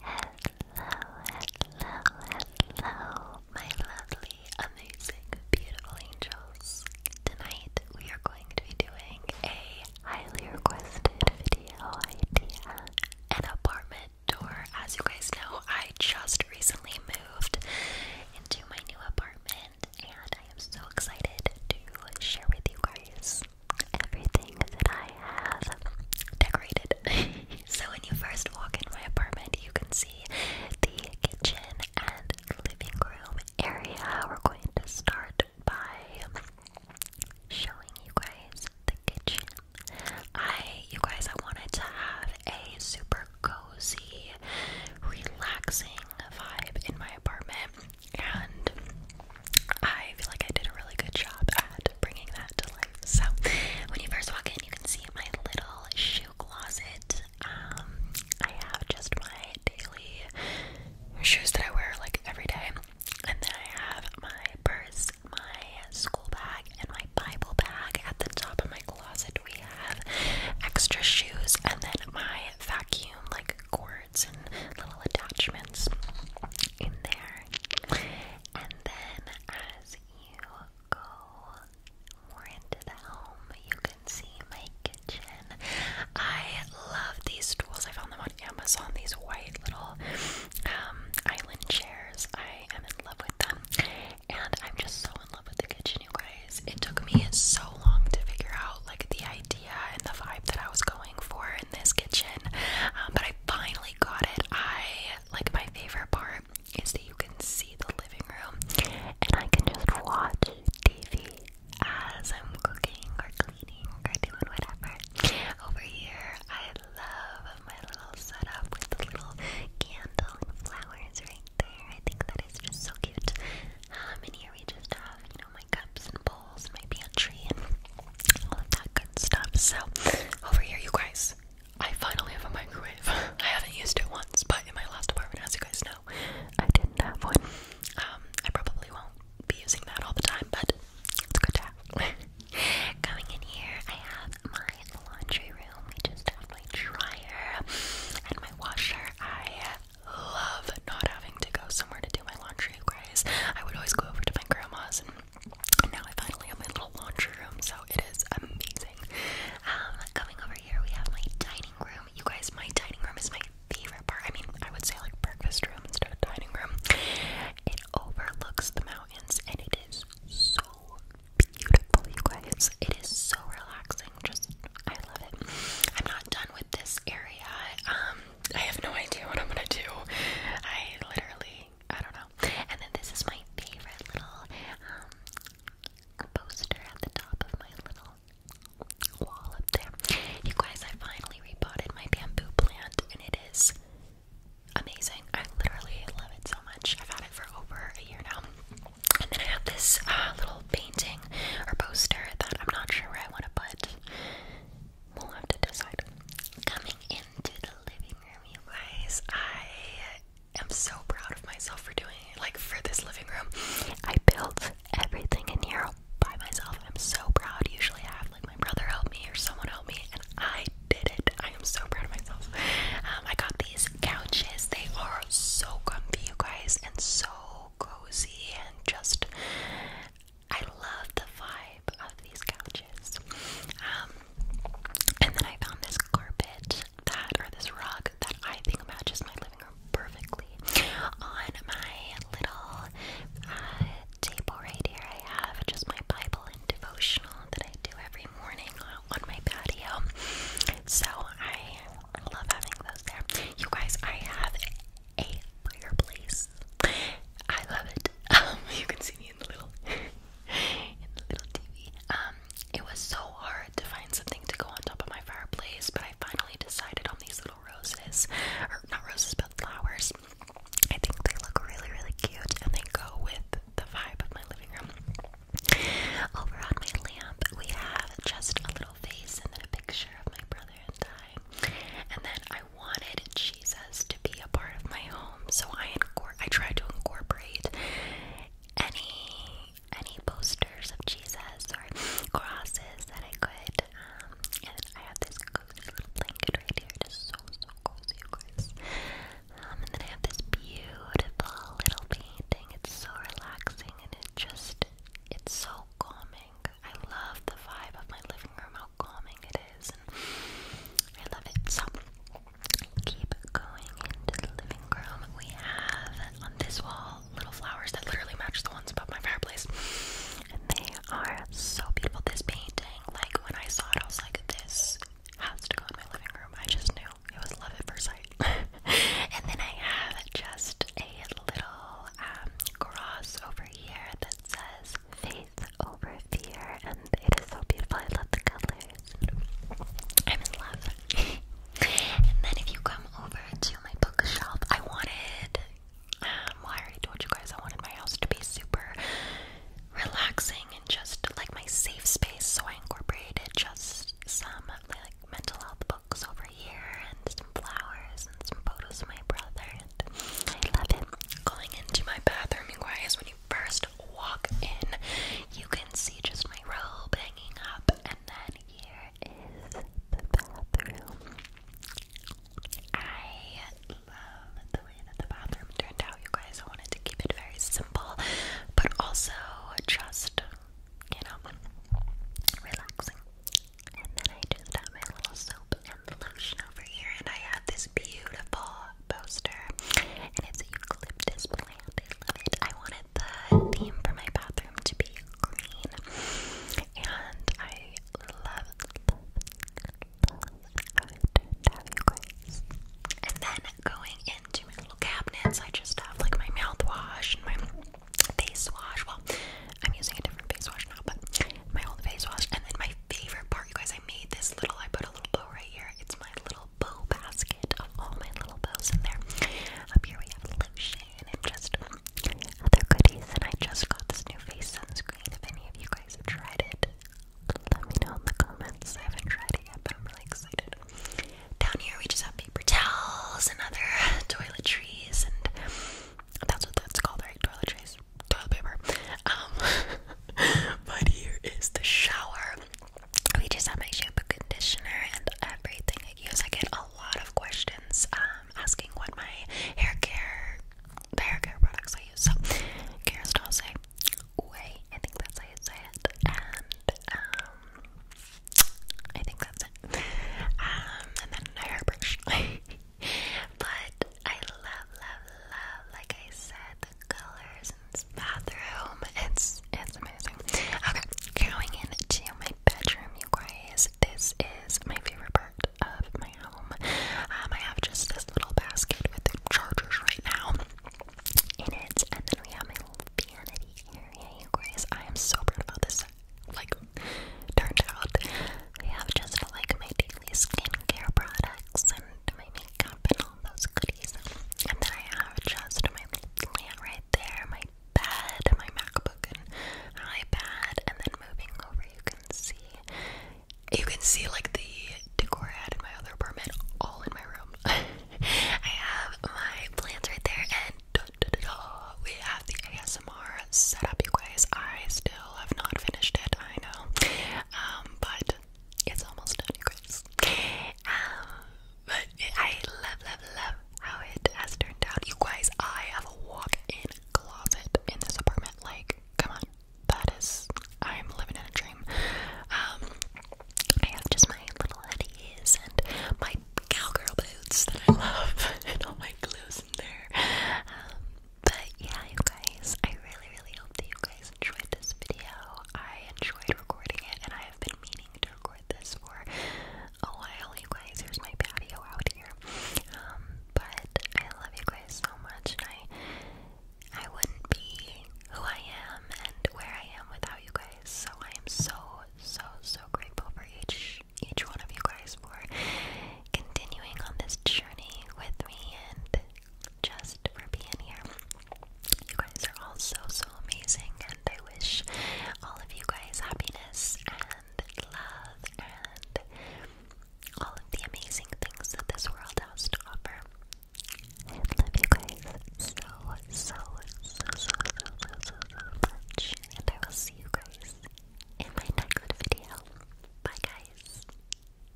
hello, hello, my lovely, amazing, beautiful angels. Tonight we are going to be doing a highly requested video idea, an apartment tour. As you guys know, I just recently moved into my new apartment, and I am so excited to share with you guys everything that I I have decorated. so when you first walk in my apartment, you can see the kitchen and living room area. We're going to start by showing you guys the kitchen. I, you guys, I wanted to have a super cozy, relaxing vibe in my apartment, and I feel like I did a really good job at bringing that to life. So, when you first walk in, you can see my little shoe closet. Um, I have just my daily shoes that I wear like every day, and then I have my purse, my school bag, and my Bible bag. At the top of my closet, we have extra shoes, and then my vacuum like cords and little attachments in there then as you go more into the home, you can see my kitchen. I love these stools. I found them on Amazon, these white little um, island chairs. I am in love with them. And I'm just so in love with the kitchen, you guys. It took me so long to figure out like the idea and the vibe that I was going for this kitchen, um, but I finally got it. I like my favorite part is that you can see the living room, and I can just watch TV as I'm cooking or cleaning or doing whatever. Over here, I love my little setup with the little candle and flowers right there. I think that is just so cute. and here we just have, you know, my cups and bowls, and my pantry, all of that good stuff. So, over here, you guys, I finally have a microwave. I haven't used it once, but in my last apartment, as you guys know, I didn't have one. Um, I probably won't be using that all the time, but it's good to have. Going in here, I have my laundry room. We just have my dryer and my washer. I love not having to go somewhere to do my laundry, guys. I would always go over to my grandma's and now I finally have my little laundry room, so it is amazing. Um, coming over here, we have my dining room. You guys, my dining room is my favorite part. I mean, I would say like breakfast room instead of dining room. It overlooks the mountains, and it is so beautiful, you guys. It is so relaxing. Just, I love it. I'm not done with this area. Um, I have no idea what I'm gonna do. I literally, I don't know. And then this is my favorite little um, poster at the top of my little wall up there. You guys, I finally repotted my bamboo plant, and it is amazing. I literally love it so much. I've had it for over a year now. And then I have this uh, little painting or poster that I'm not sure where I want to put we'll have to decide. Coming into the living room, you guys, I am so proud of myself for doing Like for this living room, I built everything in here by myself. I'm so proud. Usually, I have like my brother help me or someone help me, and I did it. I am so proud of myself. Um, I got these couches. They are so comfy, you guys, and so cozy, and just I love the vibe of these couches. Um, and then I found this carpet that, or this rug that I think matches my living room perfectly. On my little uh, table right here, I have just my Bible and devotional that I do every morning on my patio. So I love having those there. You guys, I have a fireplace. I love it. Um, you can see me in the little um, it was so hard to find something to go on top of my fireplace, but I finally decided on these little roses, or not roses, but flowers. I think they look really, really cute, and they go with the vibe of my living room. Over on my lamp, we have just a little face and then a picture of my brother and I. And then I wanted Jesus to be a part of my home, so I I tried to incorporate any any posters of Jesus or crosses that I could. Um, and I have this cozy little blanket right here, just so so cozy, guys. Um, and then I have this beautiful little painting. It's so relaxing, and it just it's so calming. I love the vibe of my living room. How calming it is. And I love it. So keep going into the living room. We have on this wall little flowers that literally match the ones above my fireplace. And they are so beautiful. This painting, like when I saw it, I was like, this has to go in my living room. I just knew it was love at first sight. and then I have just a little um, cross over here that says faith over fear, and it is so beautiful. I love the colors. I'm in love. and then if you come over to my bookshop, I wanted. Um, well, I already told you guys I wanted my house to be super relaxing and just like my safe space, so I incorporated just some like mental health books over here and some flowers and some photos of my brother. And I love it. Going into my bathroom, you guys, when you first walk in, you can see just my robe hanging up, and then here is the bathroom. I love the way that the bathroom turned out, you guys. I wanted to keep it very simple, but also just, you know, relaxing. And then I just have my little soap from the lotion over here, and I have this beautiful poster, and it's a eucalyptus plant. I love it. I wanted the theme for my bathroom to be green, and I love, love, love how it turned out, you guys. And then going into my little cabinets, I just have like my mouthwash and my face wash. Well, I'm using a different face wash now, but my old face wash, and then my favorite part you guys, I made this little, I put a little bow right here. It's my little bow basket of all my little bows in there. Up here we have lotion and just other goodies. And I just got this new face sunscreen. If any of you guys have tried it, let me know in the comments. I haven't tried it yet, but I'm really excited. Down here we just have paper towels and other toiletries and that's what that's called, right? Toiletries is toilet paper. Um, but here is the shower. We just have my shampoo, conditioner, and everything I use. I get a lot of questions um, asking what my hair care, hair care products I use. So, Kerastase, Way, I think that's how you say it. And um, I think that's it. Um, and then a hairbrush. but I love, love, love, like I said, colors in bathroom. It's it's amazing. Okay, going into my bedroom, you This is my favorite part of my home. Um, I have just this little basket with the chargers right now in it, and then we have my little vanity area, you guys. I am so proud about this. Like turned out, I have just like my daily skincare products and and my makeup and all those goodies. And then I have just my plant right there, my bed, my MacBook and iPad, and then moving over you can see you can see like the decor I had in my other apartment all in my room. I have my plants right there and we have the ASMR set up, you guys. I still have not finished it, I know. Um, but it's almost done, you guys. Um, but I love, love, love how it has turned out. You guys, I have a walk-in closet in this apartment. Like, come on, that is, I'm living in a dream. Um, I have just my little hoodies and my cowgirl boots that I love, and all my clothes in there. Um, but yeah, you guys, I really, really hope that you guys enjoyed this video. I enjoyed recording it, and I have been meaning to record this for a while. You guys, here's my patio out here. Um, but I love you guys so much, and I, I wouldn't be who I am and where I am without you guys. So I am so, so, so grateful for each each one of you guys for continuing on this journey with me and just for being here. You guys are all so, so amazing, and I wish all of you guys happiness and love and all of the amazing things that this world has to offer. I love you guys so, so, so, so, so, so, so, much, and I will see you guys in my next video. Bye, guys.